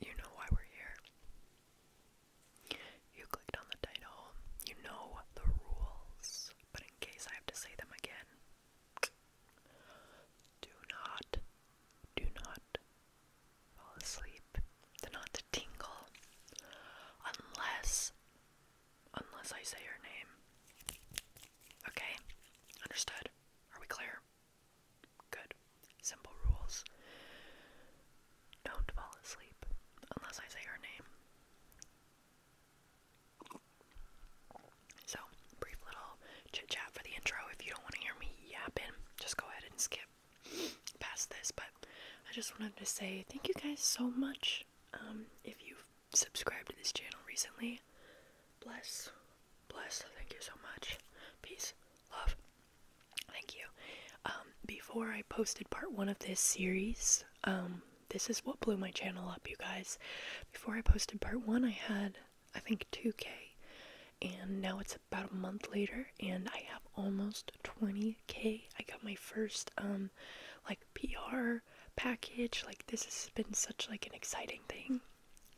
You know why we're here. You clicked on the title. You know the rules. But in case I have to say them again, do not, do not fall asleep. Do not tingle unless Unless I say her name. Okay? Understood? Are we clear? Good. Simple rules. Don't fall asleep unless I say her name. So, brief little chit chat for the intro. If you don't want to hear me yapping, just go ahead and skip past this. But I just wanted to say thank you guys so much. Um, if you've subscribed to this channel recently. Bless. Bless. Thank you so much. Peace. Love. Thank you. Um, before I posted part one of this series, um, this is what blew my channel up, you guys. Before I posted part one, I had, I think, 2K. And now it's about a month later, and I have almost 20K. I got my first, um, like, PR package. Like this has been such like an exciting thing.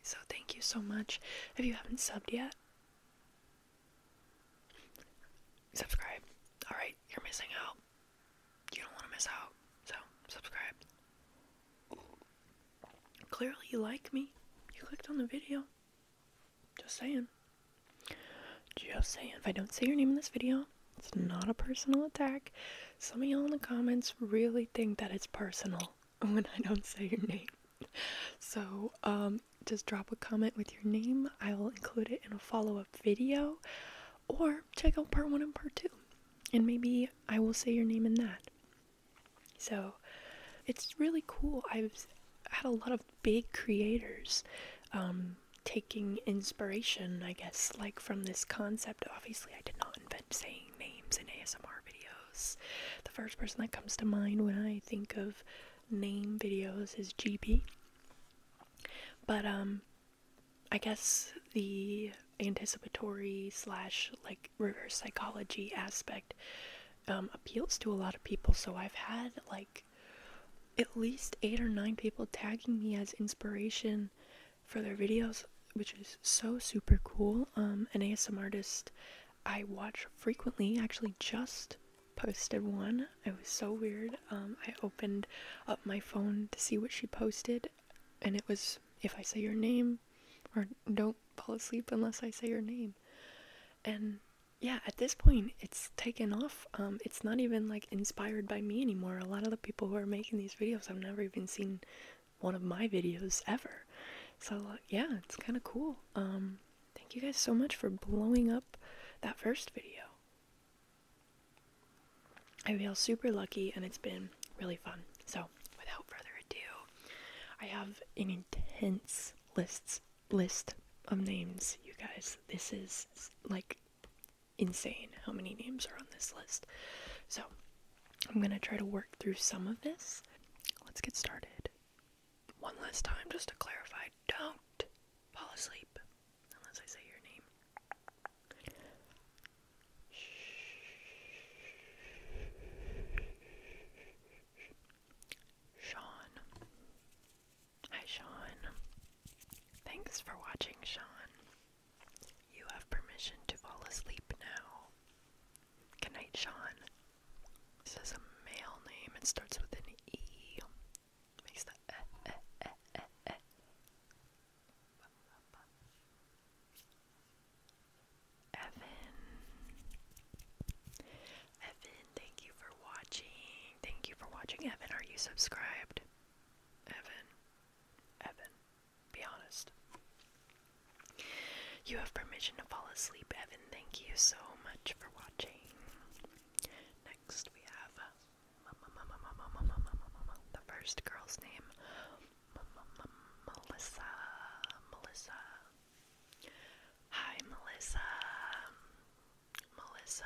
So thank you so much. If you haven't subbed yet, subscribe. All right, you're missing out. You don't want to miss out. So subscribe. Clearly you like me. You clicked on the video. Just saying. Just saying. If I don't say your name in this video, it's not a personal attack. Some of y'all in the comments really think that it's personal when I don't say your mm-hmm. name. So, um, just drop a comment with your name. I will include it in a follow up video or check out part one and part two. And maybe I will say your name in that. So, it's really cool. I've had a lot of big creators um, taking inspiration, I guess, like from this concept. Obviously, I did not invent saying names in ASMR videos. The first person that comes to mind when I think of name videos is GB. But, um, I guess the anticipatory slash like reverse psychology aspect um, appeals to a lot of people. So I've had like at least eight or nine people tagging me as inspiration for their videos, which is so super cool. Um, an ASM artist I watch frequently actually just posted one. It was so weird. Um, I opened up my phone to see what she posted, and it was if I say your name, or don't fall asleep unless I say your name. And yeah, at this point, it's taken off. Um, it's not even like inspired by me anymore. A lot of the people who are making these videos, I've never even seen one of my videos ever. So uh, yeah, it's kind of cool. Um, thank you guys so much for blowing up that first video. I feel super lucky and it's been really fun. So without further ado, I have an intense lists list of names, you guys. This is like insane how many names are on this list. So I'm going to try to work through some of this. Let's get started. One last time, just to clarify don't fall asleep unless I say your name. Sean. Hi, Sean. Thanks for watching, Sean. You have permission to fall asleep now. Good night, Sean. This is a male name. It starts with an E. Makes the eh, eh, eh, eh, eh. Evan. Evan, thank you for watching. Thank you for watching, Evan. Are you subscribed? Evan. Evan. Be honest. You have permission to fall asleep, Evan. Thank you so much for watching. Next, we have the first girl's name Melissa. Melissa. Hi, Melissa. Melissa,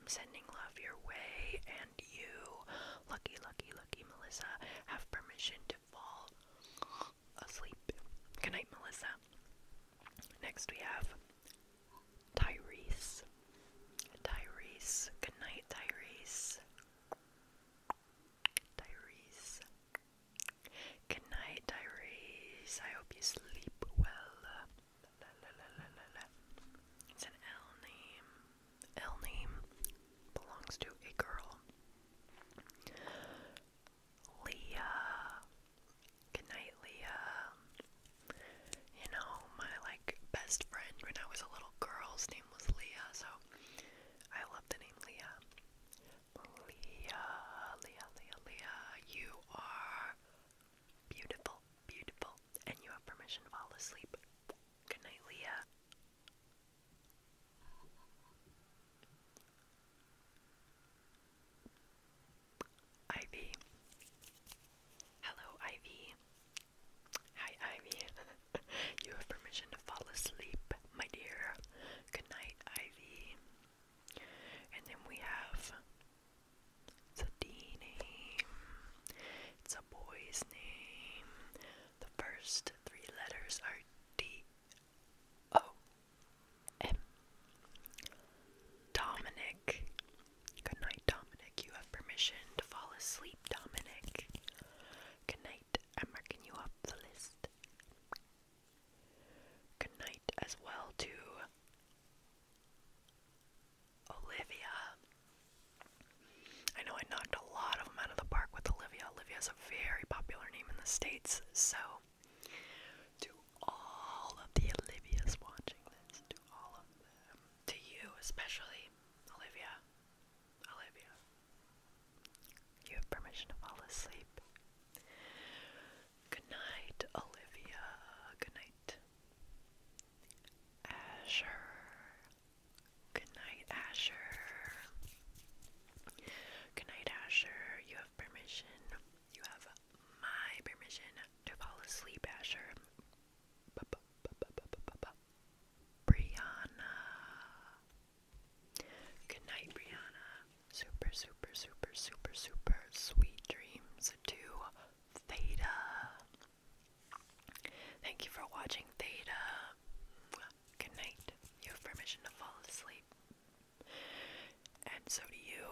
I'm sending love your way and you lucky, lucky, lucky Melissa have permission to fall asleep. Good night, Melissa. Next we have Tyrese. Tyrese. Good night, Tyrese. Tyrese. Good night, Tyrese. I hope you sleep well. It's an L name ill name belongs to a girl. Leah. Good night, Leah. You know, my like best friend when I was a little girl's name was Leah, so I love the name Leah. Leah, Leah, Leah, Leah, you are beautiful, beautiful, and you have permission to fall asleep. Good night, Leah. Ivy. Hello, Ivy. Hi, Ivy. you have permission to fall asleep, my dear. Good night, Ivy. And then we have Sadine. It's a boy's name. The first three letters are D O M. Dominic. Good night, Dominic. You have permission to fall asleep, Dominic. Good night. I'm you off the list. Good night as well to Olivia. I know I knocked a lot of them out of the park with Olivia. Olivia is a very popular name in the States, so to all of the Olivias watching this, to all of them, to you especially, Olivia, Olivia, you have permission to fall asleep. Good night, Olivia. Good night. Asher, Good night, Asher. Good night, Asher. You have permission. You have my permission to fall asleep, Asher. B -b -b -b -b -b -b Brianna. Good night, Brianna. Super, super, super, super, super sweet dreams to Theta. Thank you for watching Theta. Good night. You have permission to fall asleep. And so do you,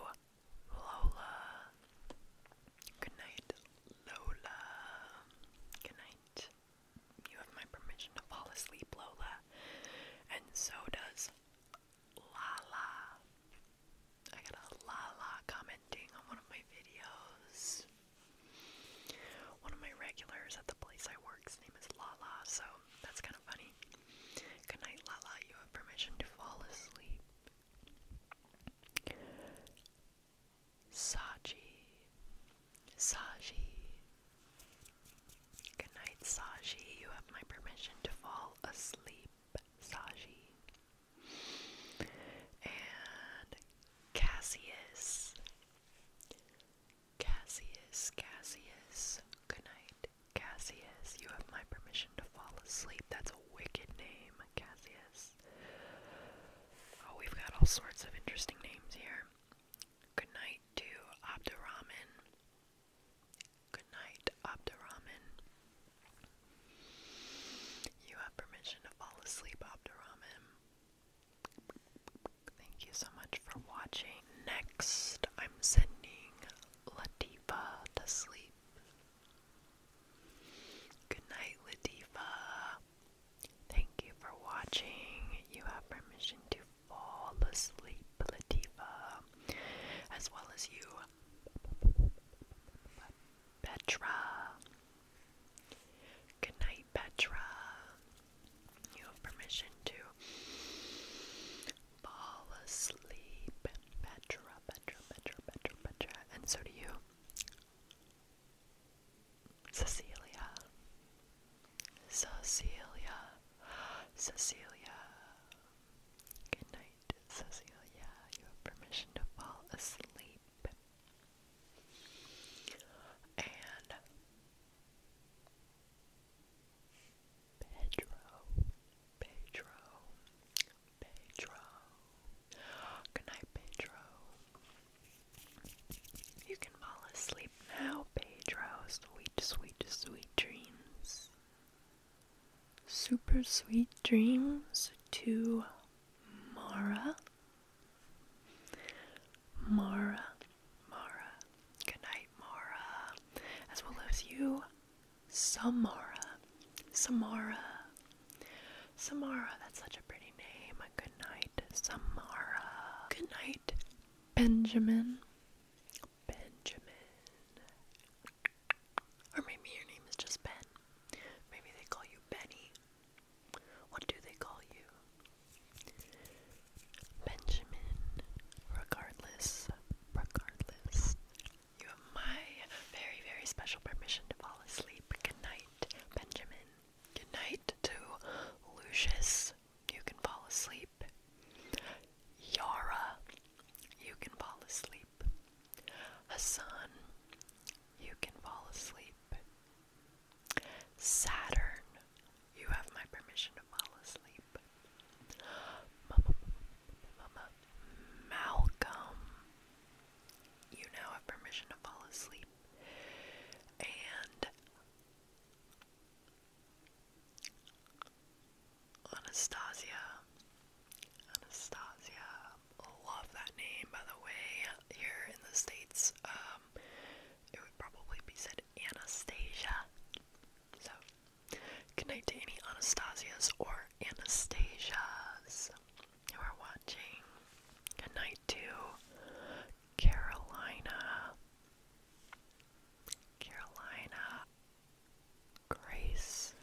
Lola. Good night, Lola. Good night. You have my permission to fall asleep, Lola. And so does Lala. I got a Lala commenting on one of my videos. One of my regulars at the place I work's name is Lala, so that's kind of funny. Good night, Lala. You have permission to fall asleep. Saji. Saji. Good night, Saji. You have my permission to fall asleep. Saji. And Cassius. Cassius, Cassius. Good night, Cassius. You have my permission to fall asleep. That's a wicked name, Cassius. Oh, we've got all sorts of interesting names here. Good night to Abdurrahman. Good night, Abdurrahman. You have permission to fall asleep, Abdurrahman. Thank you so much for watching. Next, I'm sending Latifa to sleep. Good night, Latifa. Thank you for watching. You have permission to fall asleep, Latifa, as well as you. Petra. Good night, Petra. You have permission to fall asleep. Petra, Petra, Petra, Petra, And so do you. Cecilia. Cecilia. Cecilia. Good night, Cecilia. You have permission to fall asleep and Pedro, Pedro, Pedro. Good night, Pedro. You can fall asleep now, Pedro. Sweet, sweet, sweet dreams. Super sweet dreams to Mara Mara, Mara, good night, Mara, as well as you, Samara, Samara, Samara, that's such a pretty name. Good night, Samara. Good night, Benjamin, Benjamin, or maybe your name is just Ben. Maybe they call you Benny. What do they call you? Benjamin, regardless, regardless, you have my very, very special permission to fall asleep. Good night, Benjamin. Good night to Lucius. You can fall asleep. Yara, you can fall asleep. Hassan, you can fall asleep. Saturn, you have my permission to fall asleep. Malcolm, you now have permission to fall asleep. And Anastasia, Anastasia, love that name, by the way. Here in the States, um, it would probably be said Anastasia. So, good night to any Anastasias or Anastasias who are watching. Good night to Carolina. Carolina. Grace.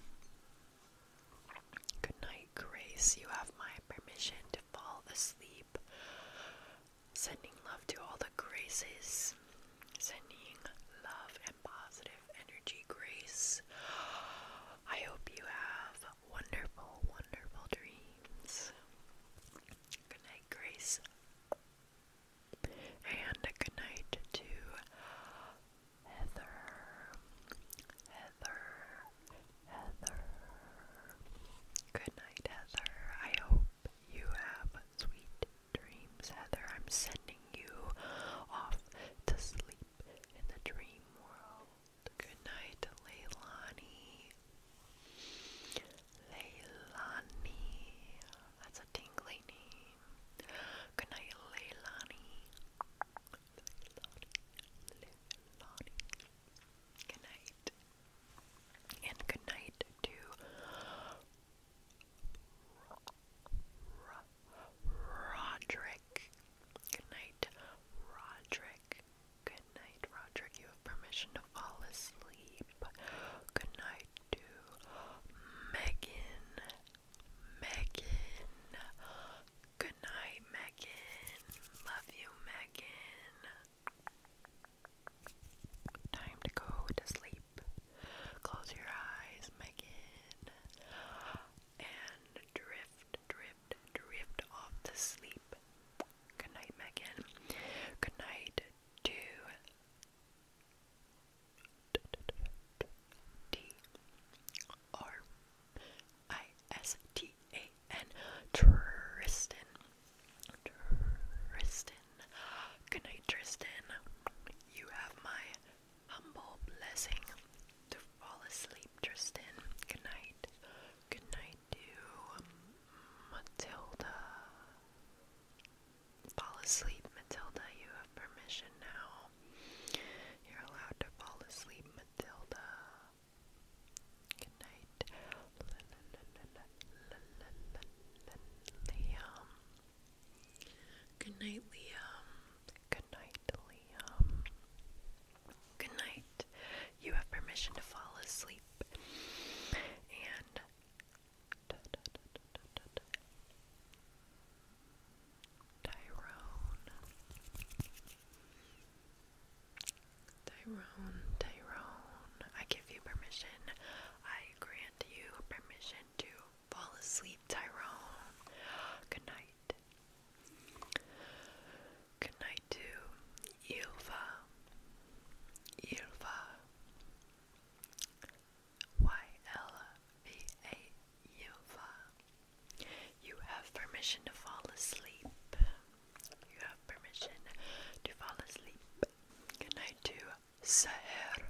Good night, Grace. You have my permission to fall asleep. Sending love to all the graces. Sending love and positive energy, grace. I hope you have wonderful, wonderful dreams. Good night, Grace. And good night to Heather. Heather. Heather. Good night, Heather. I hope you have sweet dreams, Heather. I'm sending you off to sleep in the dream world. Good night, Leilani. Leilani. That's a tingly name. Good night, Leilani. Leilani. Leilani. Good night. And good night to Roderick. Good night, Roderick. Good night, Roderick. You have permission to fall asleep. Good night to Megan. Megan. Good Good night, Megan. Love you, Megan. Time to go to sleep. Close your eyes, Megan. And drift, drift, drift off to sleep. Good night, Megan. Good night to D R I S T A N Tristan. Tristan. Good night, Tristan. You have my humble blessing to fall asleep, Tristan. Good night. Good night to Matilda. Fall asleep, Matilda. You have permission now. You're allowed to fall asleep, Matilda. Good night. Liam. Good night, Liam. Good night, Liam. Good night. You have permission to fall asleep. And. Tyrone, Tyrone, Tyrone, I give you permission. I grant you permission to fall asleep, Tyrone. Good night. Good night to Ilva. Ilva. Y L V A you have permission to fall asleep. You have permission to fall asleep. Good night to Seher.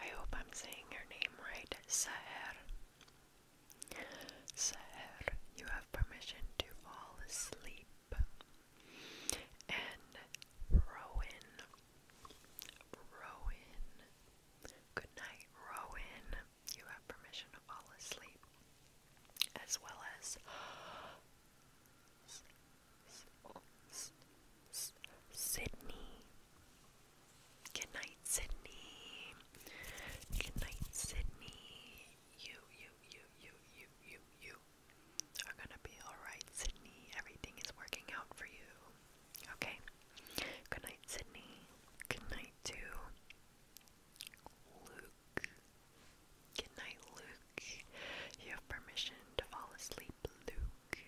I hope I'm saying your name right. Seher. Seher, you have permission to fall asleep. And Rowan. Rowan. Good night, Rowan you have permission to fall asleep, as well as Sydney. Good night, Sydney. Good night, Sydney. You, you, you, you, you, you, you are gonna be alright, Sydney. Everything is working out for you. Okay? Good night, Sydney. Good night to Luke. Good night, Luke. You have permission to fall asleep, Luke.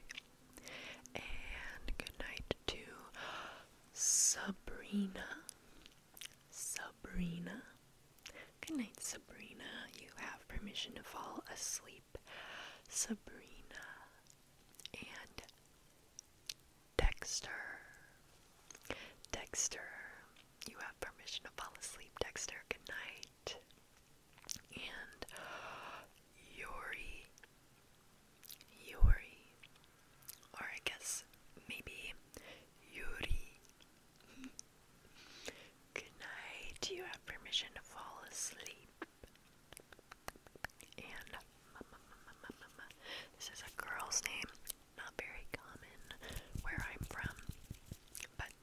And good night to Sabrina. Sabrina. Good night, Sabrina. You have permission to fall asleep, Sabrina. And Dexter. Dexter, you have permission to fall asleep, Dexter. Good night. And Yuri. Yuri. Or I guess maybe Yuri. Good night. You have permission to fall asleep. And This is a girl's name not very common where I'm from, but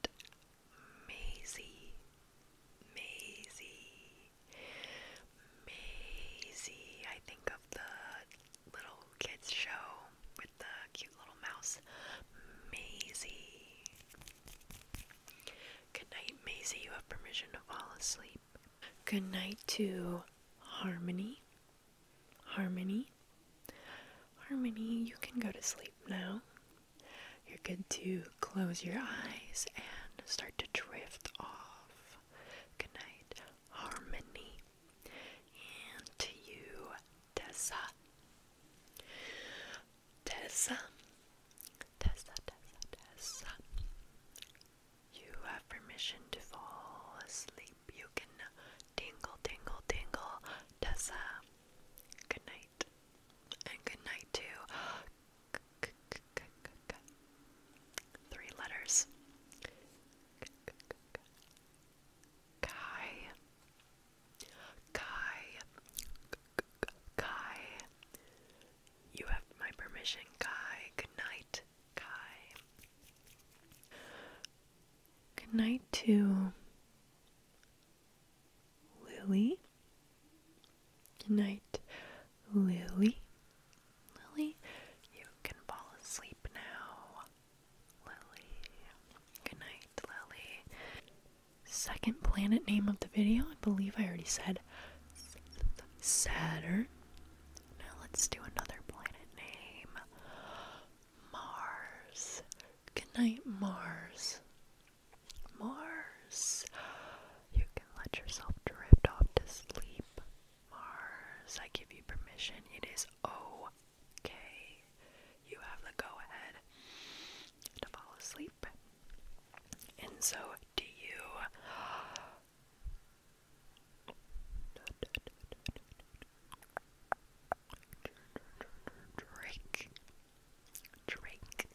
Maisie, Maisie, Maisie. I think of the little kids show with the cute little mouse, Maisie. Good night, Maisie. You have permission to fall asleep. Good night to Harmony. Harmony. Harmony, you can go to sleep now. You're good to close your eyes and start to drift off. Good night, Harmony. And to you, Tessa. Tessa. Tessa, Tessa, Tessa. You have permission to fall asleep. You can tingle, tingle, tingle. Tessa, good night. And good night to three letters. Kai. Kai. Kai. You have my permission, Kai. Good night. Good night to Lily. Good night, Lily. Lily, you can fall asleep now. Lily. Good night, Lily. Second planet name of the video, I believe I already said Saturn. Now let's do another planet name. Mars. Good night, Mars. Mars. You can let yourself drift off to sleep. Mars, I give you permission. It is okay. You have the go ahead to fall asleep. And so do you. Drake. Drake.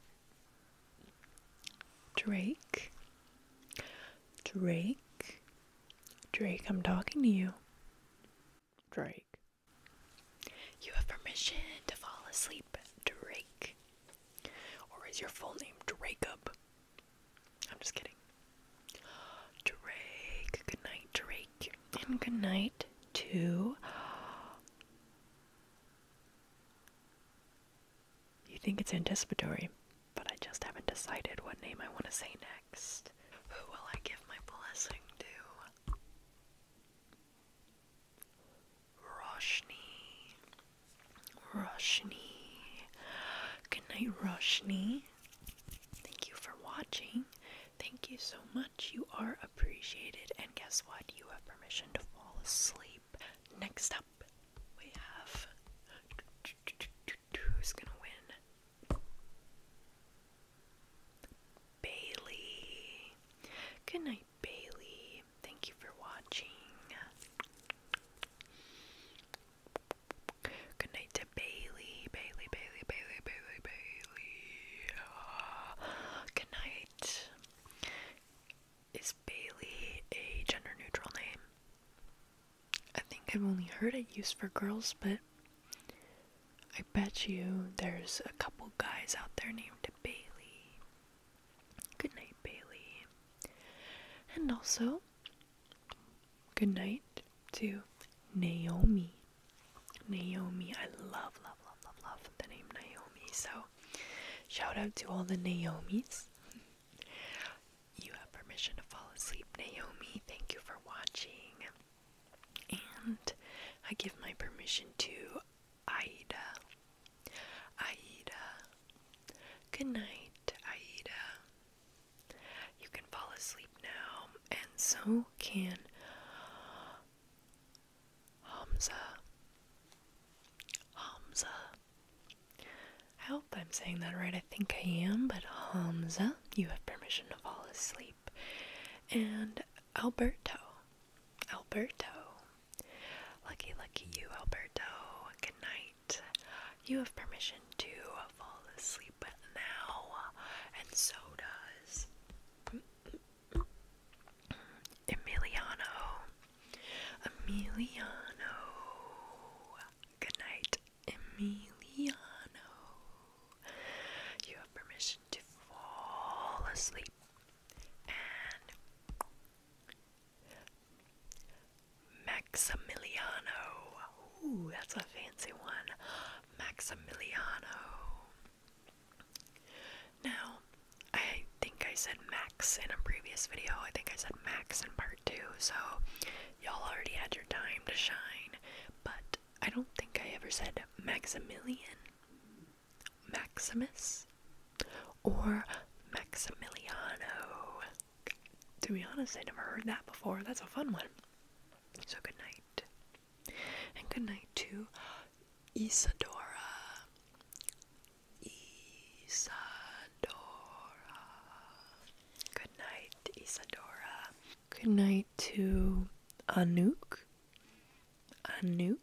Drake. Drake. Drake, I'm talking to you. Drake. You have permission to fall asleep, Drake. Or is your full name Drake I'm just kidding. Drake, good night, Drake, and good night to. You think it's anticipatory, but I just haven't decided what name I want to say next. Who will I give my blessing to? Roshni. Roshni. Good night, Roshni. Thank you for watching. Thank you so much. You are appreciated. And guess what? You have permission to fall asleep. Next up, we have. Who's gonna win? Bailey. Good night, Bailey. Thank you for watching. Good night to Bailey, Bailey, Bailey, Bailey, Bailey, Bailey. Uh, good night. Is Bailey a gender neutral name? I think I've only heard it used for girls, but I bet you there's a couple guys out there named Bailey. Good night, Bailey. And also, good night to Naomi. Naomi, I love, love, love, love, love the name Naomi. So, shout out to all the Naomis. you have permission to fall asleep, Naomi. Thank you for watching. And I give my permission to Aida. Aida. Good night, Aida. You can fall asleep now, and so can Hamza. Hamza. I hope I'm saying that right. I think I am, but Hamza, you have permission to fall asleep. And Alberto. Alberto. Lucky, lucky you, Alberto. Good night. You have permission to fall asleep now, and so does Emiliano. Emiliano. Good night, Emiliano. You have permission to fall asleep Maximiliano. Ooh, that's a fancy one. Maximiliano. Now, I think I said Max in a previous video. I think I said Max in part two, so y'all already had your time to shine. But I don't think I ever said Maximilian, Maximus, or Maximiliano. To be honest, I never heard that before. That's a fun one. So good night. And good night to Isadora. Isadora. Good night, Isadora. Good night to Anouk. Anouk.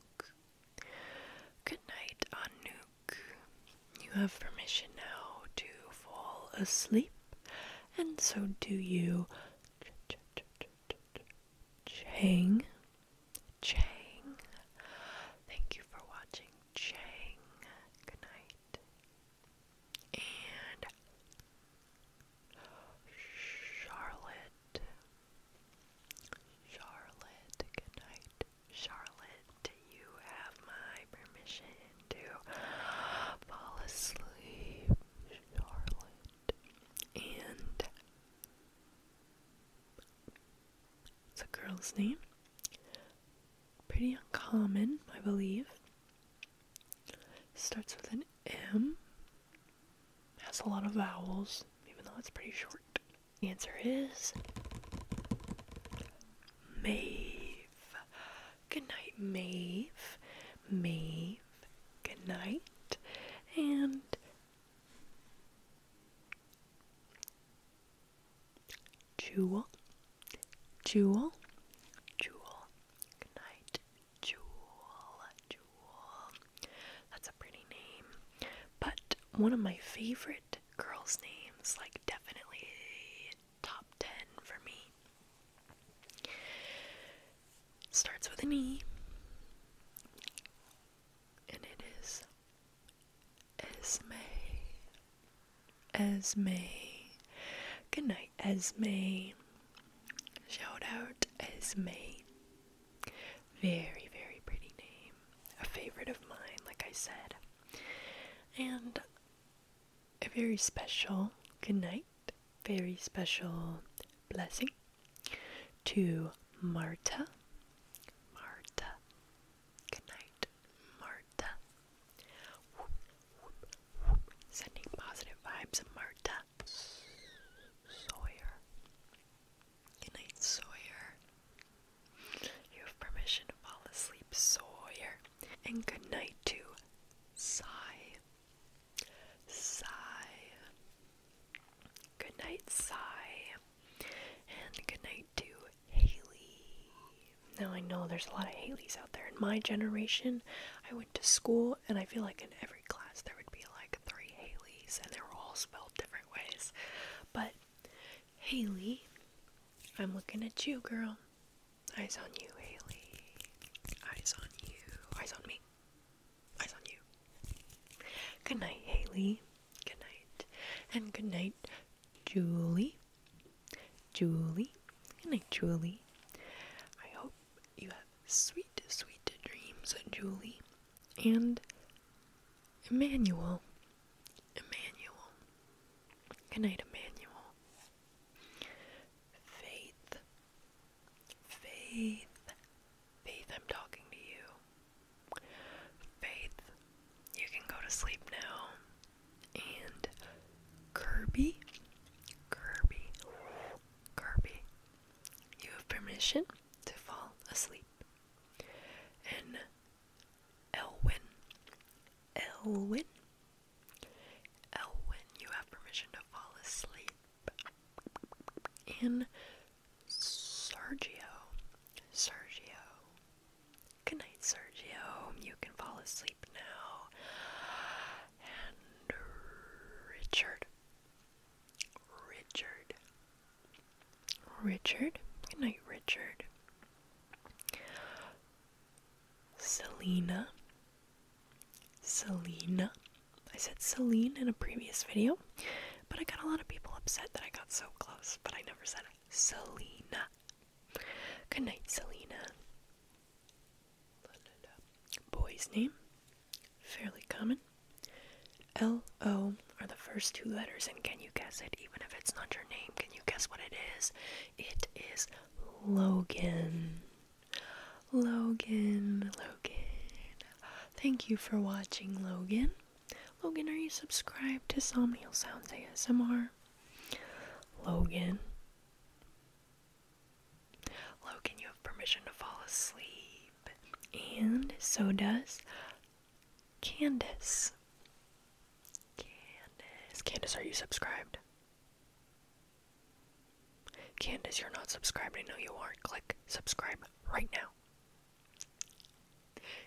Good night, Anouk. You have permission now to fall asleep and so do you. Chang. Chang. Thank you for watching, Chang. Good night. And Charlotte. Charlotte, good night. Charlotte, you have my permission to fall asleep, Charlotte. And it's a girl's name. Pretty uncommon, I believe. Starts with an M. Has a lot of vowels, even though it's pretty short. answer is Maeve. Good night, Maeve. Maeve. Good night. And Jewel. Jewel. Jewel. Good night. Jewel. Jewel. That's a pretty name. But one of my favorite girls' names, like definitely top 10 for me. Starts with an E, and it is Esme. Esme. Good night, Esme. Shout out Esme. Very, very pretty name. A favorite of mine, like I said. And a very special good night, very special blessing to Marta. Marta. Good night, Marta. Sending positive vibes, Marta. Sawyer. Good night, Sawyer. You have permission to fall asleep, Sawyer. And good night to Sigh. Sigh. Good night, Sigh. And good night to Haley. Now I know there's a lot of Haleys out there. In my generation, I went to school and I feel like in every class there would be like three Haleys and they were all spelled different ways. But Haley, I'm looking at you, girl. Eyes on you, Haley. Eyes on you. Eyes on me. Eyes on you. Good night, Haley. Good night. And good night, Julie. Julie. Good night, Julie. I hope you have sweet, sweet dreams, Julie. And Emmanuel. Emmanuel. Good night, Emmanuel. Faith. Faith. Faith, I'm talking to you. Faith, you can go to sleep now. And Kirby. Kirby. Kirby. You have permission to fall asleep. And Elwin. Elwin. Elwin, you have permission to fall asleep. And Sergio, Sergio, good night, Sergio. You can fall asleep now. And Richard, Richard, Richard, good night, Richard. Selena. Selena. I said Celine in a previous video, but I got a lot of people upset that I got so close, but I never said it. Selena. Good night, Selena. Boy's name. Fairly common. L O are the first two letters, and can you guess it? Even if it's not your name, can you guess what it is? It is Logan. Logan, Logan. Thank you for watching, Logan. Logan, are you subscribed to Somnial Sounds ASMR? Logan. Logan, you have permission to fall asleep. And so does Candace. Candace. Candace, are you subscribed? Candace, you're not subscribed. I know you are. Click subscribe right now.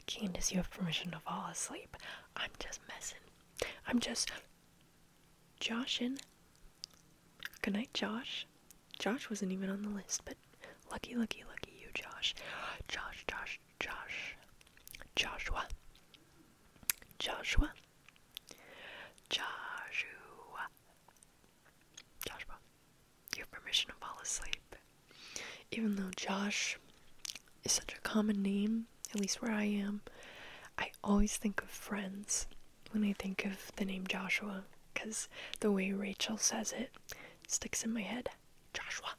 Candace, you have permission to fall asleep. I'm just messing. I'm just joshing. Good night, Josh. Josh wasn't even on the list, but lucky, lucky, lucky you, Josh. Josh, Josh, Josh. Joshua. Joshua, Joshua, Joshua, your permission to fall asleep. Even though Josh is such a common name, at least where I am, I always think of friends when I think of the name Joshua because the way Rachel says it sticks in my head. Joshua.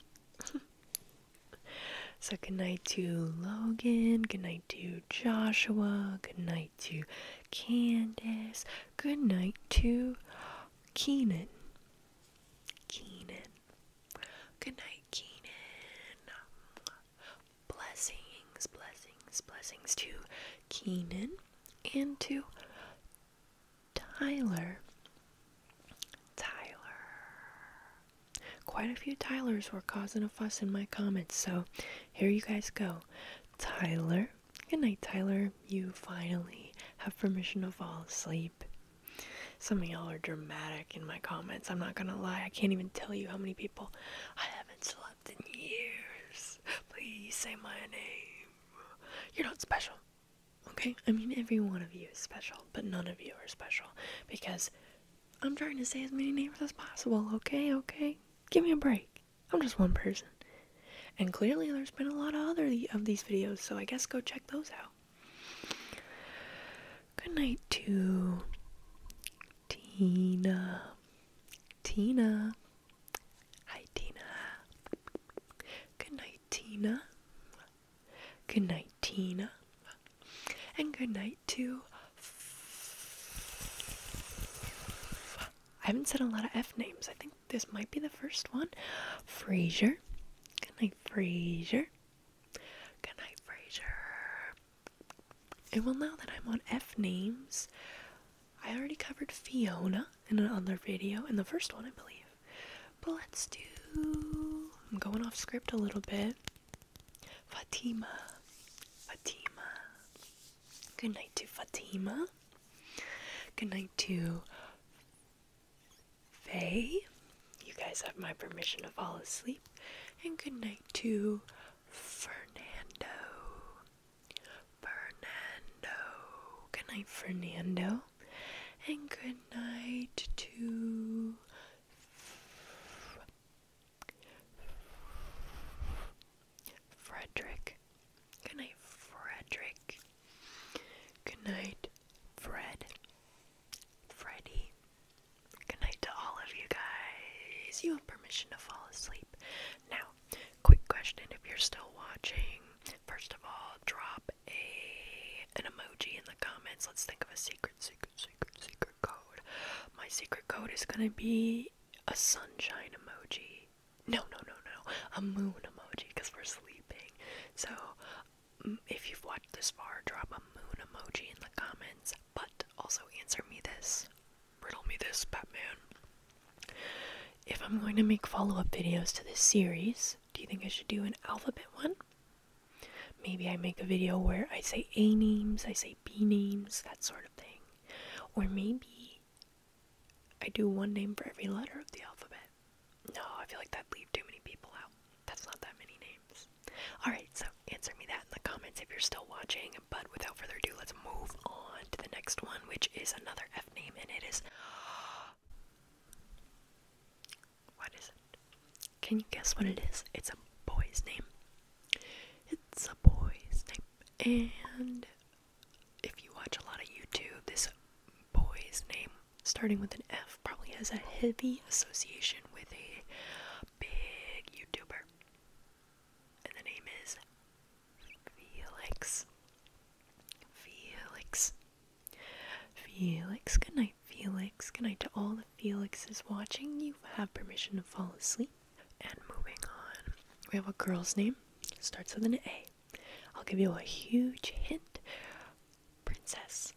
so, good night to Logan. Good night to Joshua. Good night to Candace. Good night to Keenan. Keenan. Good night, Keenan. Blessings, blessings, blessings to Keenan and to Tyler. Tyler. Quite a few Tylers were causing a fuss in my comments, so here you guys go. Tyler, good night, Tyler. You finally have permission to fall asleep. Some of y'all are dramatic in my comments. I'm not gonna lie. I can't even tell you how many people I haven't slept in years. Please say my name. You're not special. Okay? I mean, every one of you is special, but none of you are special because I'm trying to say as many names as possible, okay? Okay? Give me a break. I'm just one person. And clearly there's been a lot of other of these videos, so I guess go check those out. Good night to Tina. Tina. Hi, Tina. Good night, Tina. Good night, Tina and good night to. I haven't said a lot of F names. I think this might be the first one. Fraser. Good night, Fraser. Good night, Fraser. And well, now that I'm on F names, I already covered Fiona in another video, in the first one, I believe. But let's do. I'm going off script a little bit. Fatima, Fatima. Good night to Fatima. Good night to Faye. You guys have my permission to fall asleep. And good night to Fernando. Fernando. Good night, Fernando. And good night to Frederick. Good night, Frederick. Good night, Fred. Freddy. Good night to all of you guys. You have permission to fall asleep. Now, quick question if you're still watching. First of all, drop a an emoji in the comments. Let's think of a secret secret secret, secret, code. My secret code is gonna be a sunshine emoji. No, no, no, no, a moon emoji because we're sleeping. So, mm, if you've watched this far, drop a moon emoji in the comments. But also answer me this, riddle me this, Batman. If I'm going to make follow up videos to this series, do you think I should do an alphabet one? Maybe I make a video where I say A names, I say be names, that sort of thing. Or maybe I do one name for every letter of the alphabet. No, I feel like that'd leave too many people out. That's not that many names. Alright, so answer me that in the comments if you're still watching. But without further ado, let's move on to the next one, which is another F name, and it is. What is it? Can you guess what it is? It's a boy's name. It's a boy's name. And if you watch a lot of YouTube, this boy's name, starting with an F, probably has a heavy association with a big YouTuber. And the name is Felix. Felix. Felix, good night, Felix. Good night to all the Felixes watching. You have permission to fall asleep. And moving on, we have a girl's name, starts with an A. I'll give you a huge hint Princess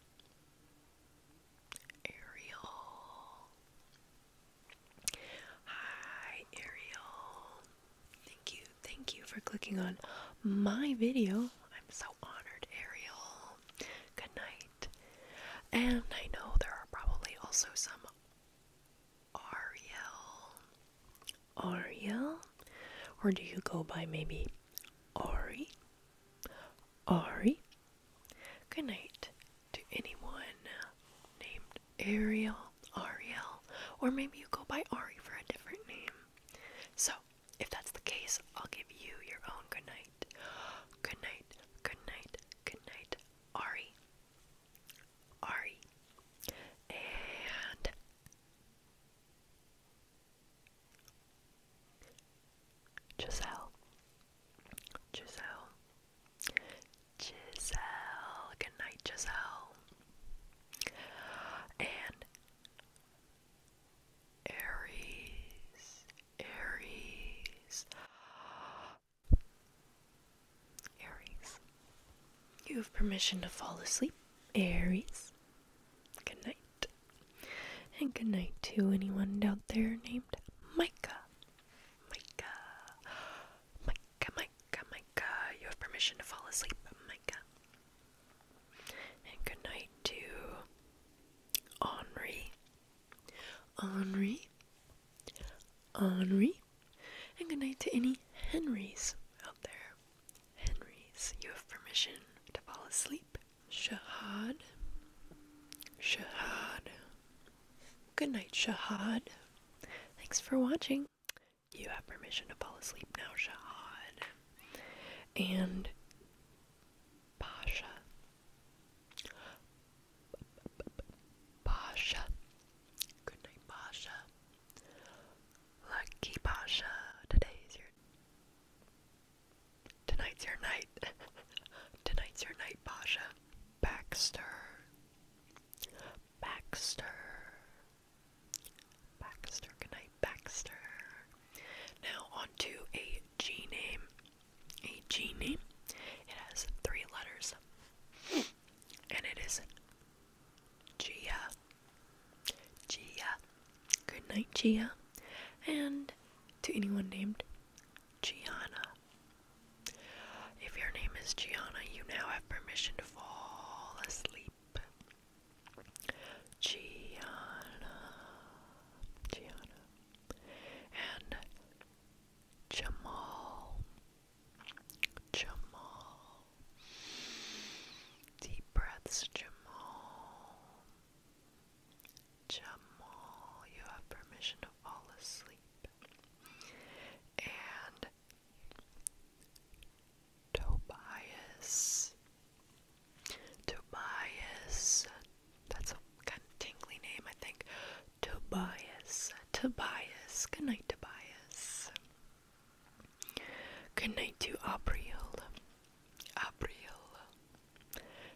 Ariel. Hi, Ariel. Thank you, thank you for clicking on my video. I'm so honored, Ariel. Good night. And I know there are probably also some Ariel. Ariel? Or do you go by maybe Ari? Ari? Good night to anyone named Ariel, Ariel, or maybe you go by Ari for a different name. So, if that's the case, I'll give you your own good night. Good night, good night, good night, Ari. Ari. And Giselle. Giselle. Giselle. Good night, Giselle. And Aries. Aries. Aries. You have permission to fall asleep, Aries. Good night. And good night to anyone out there named Micah. Micah. Micah, Micah, Micah. You have permission to fall asleep, Micah. And good night to Henri. Henri, Henri, and good night to any Henrys out there. Henrys, you have permission to fall asleep. Shahad, Shahad. Good night, Shahad. Thanks for watching. You have permission to fall asleep now, Shahad. And Pasha. Pasha. Good night, Pasha. Lucky Pasha. Today your Tonight's your night. Tonight's your night, Pasha. Baxter. Baxter. Baxter. Good night, Baxter. Now on to a G name a genie. It has three letters, and it is Gia. Gia. Good night, Gia. And to anyone named Gianna. If your name is Gianna, you now have permission to fall asleep. Gianna. Gianna. And Jamal, Jamal, deep breaths, Jamal, Jamal, you have permission to fall asleep, and Tobias, Tobias, that's a kind of tingly name, I think. Tobias. Tobias. Good night, Tobias. Good night to Abriel. Abriel.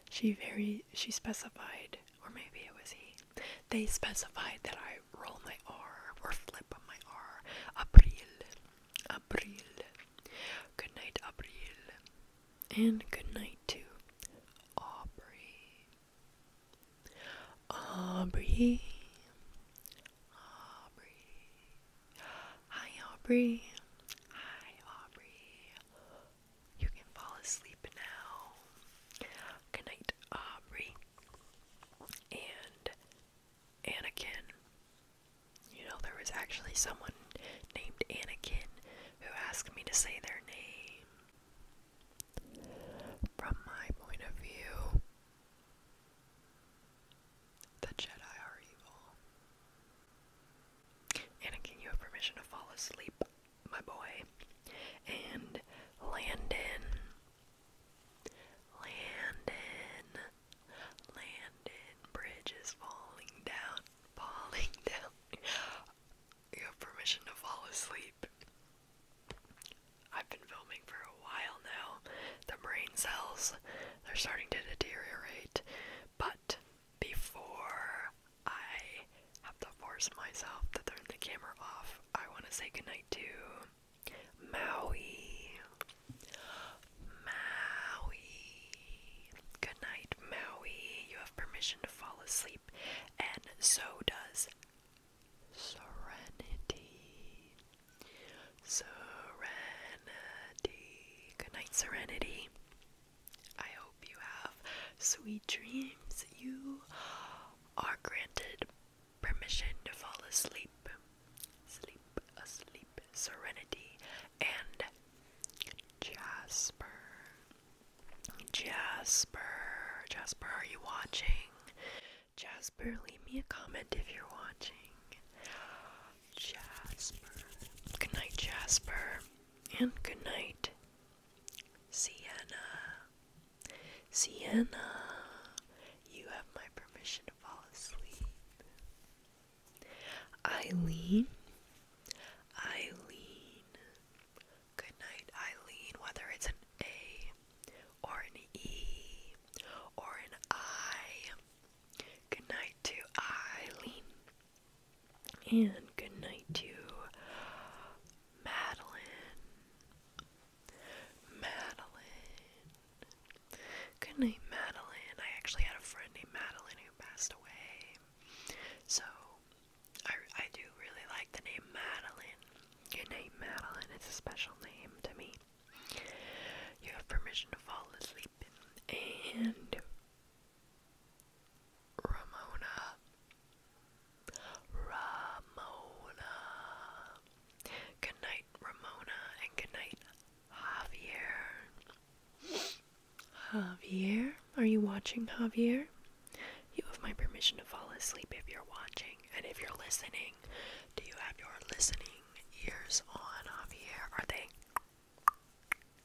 She very she specified, or maybe it was he. They specified that I roll my R or flip on my R. Abril. Abril. Good night, Abril. And good night to Aubrey. Aubrey. Aubrey. Hi, Aubrey. Hi, Aubrey. You can fall asleep now. Good night, Aubrey. And Anakin. You know, there was actually someone named Anakin who asked me to say their name. From my point of view, the Jedi are evil. Anakin, you have permission to fall asleep, my boy. And Landon. Landon. Landon. Bridge is falling down. Falling down. You have permission to fall asleep. I've been filming for a while now. The brain cells, they're starting to deteriorate. But before I have to force myself to turn the camera off, I want to say goodnight to Maui. Maui. Good night, Maui. You have permission to fall asleep and so does serenity. Serenity. Good Serenity. I hope you have sweet dreams. You are granted permission to fall asleep. Sleep, asleep, serenity, and Jasper. Jasper, Jasper, are you watching? Jasper, leave me a comment if you're watching. Jasper. Good night, Jasper. And good night, Sienna. Sienna, you have my permission to fall asleep. Eileen, Eileen, Good night, Eileen, whether it's an A or an E or an I. Good night to Eileen. And good night to Madeline. Madeline. Good night, Madeline. I actually had a friend named Madeline who passed away. So I, I do really like the name Madeline. Your name Madeline is a special name to me. You have permission to fall asleep. And Ramona. Ramona. Good night, Ramona, and good night, Javier. Javier? Are you watching, Javier? You have my permission to fall asleep if you're watching. And if you're listening, do you have your listening ears on, Javier? Are they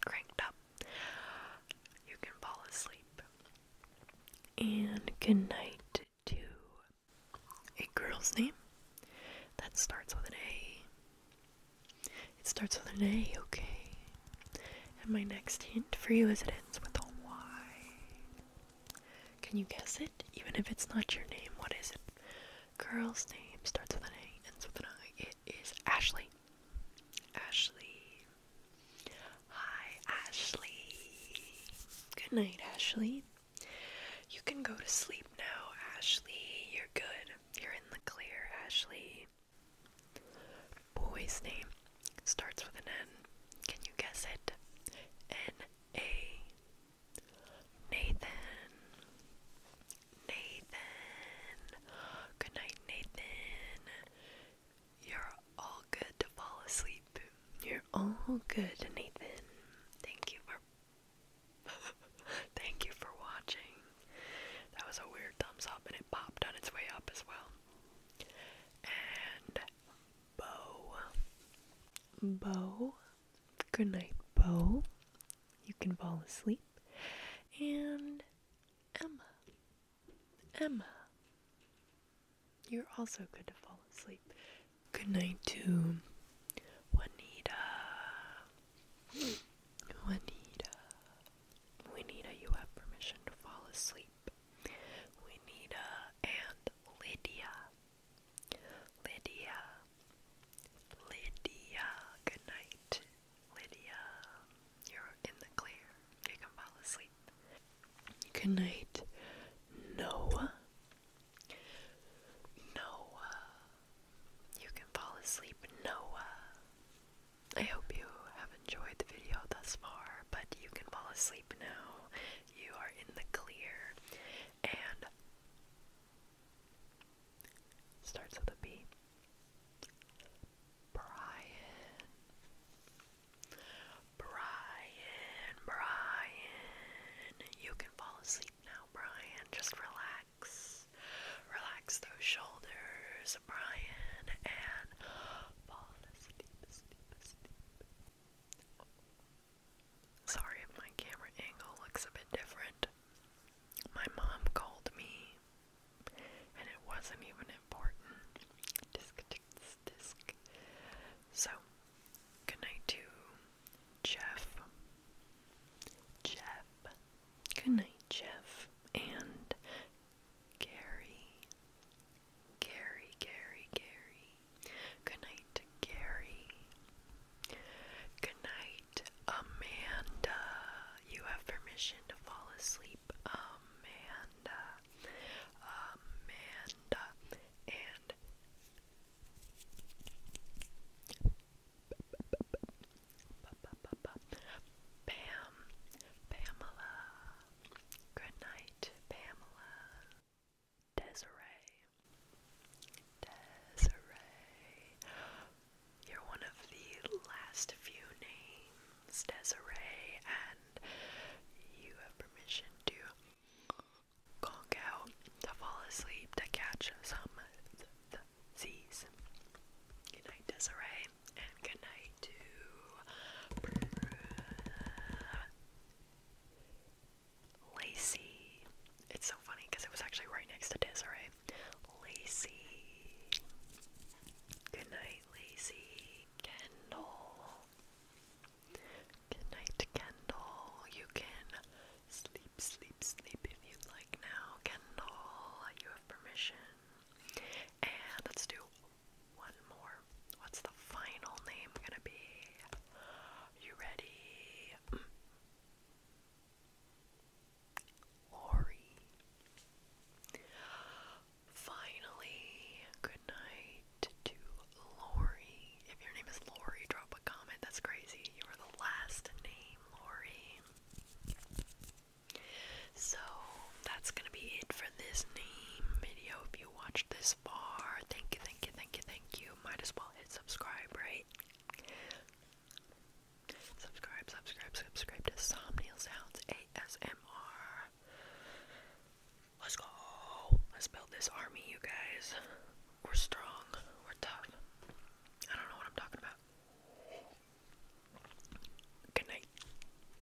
cranked up? You can fall asleep. And good night to a girl's name that starts with an A. It starts with an A, okay. And my next hint for you is it ends with a Y. Can you guess it? Even if it's not your name, what is it? Girl's name starts with an A, ends with an I. It is Ashley. Ashley. Hi, Ashley. Good night, Ashley. You can go to sleep now, Ashley. You're good. You're in the clear, Ashley. Boy's name starts with an N. Can you guess it? N A. Nathan. Nathan. Good night, Nathan. You're all good to fall asleep. You're all good, Nathan. Thank you for Thank you for watching. That was a weird thumbs up and it its way up as well. And Bo. Bo. Good Bo. You can fall asleep. And Emma. Emma. You're also good to fall asleep. Good night to Juanita. Juanita. Juanita, you have permission to fall asleep. Winita and Lydia. Lydia. Lydia. Good night, Lydia. You're in the clear. You can fall asleep. Good night, Noah. Noah. You can fall asleep, Noah. I hope you have enjoyed the video thus far, but you can fall asleep now. You are in the clear. And starts with a B. Brian. Brian, Brian. You can fall asleep now, Brian. Just relax. Relax those shoulders, Brian, and Sorry if my camera angle looks a bit different. My mom called me, and it wasn't even important. So, good night to Jeff. Jeff. Good night, Jeff. And Gary. Gary, Gary, Gary. Good night, Gary. Good night, Amanda. You have permission to fall asleep, Amanda. Amanda. And Pam, Pamela, Good night, Pamela. Desiree. Desiree. You're one of the last few names, Desiree, and you have permission to conk out, to fall asleep, to catch some Z's. Good night, Desiree time, and good night to Lacey. It's so funny because it was actually right next to Desiree. Lacey. Good night, Lacey. Kendall. Good night, Kendall. You can sleep, sleep, sleep if you like now, Kendall. You have permission. And let's do one more. What's the final name gonna be? You ready? Mm. Lori. Finally, good night to Lori. If your name is Lori, drop a comment. That's crazy. You are the last name, Lori. So that's gonna be it for this name video. If you watched this far, thank you, thank you, thank you, thank you. Might as well hit subscribe, right? Subscribe, subscribe, subscribe to Somnial Sounds ASMR. Let's go. Let's build this army, you guys. We're strong. We're tough. I don't know what I'm talking about. Good night.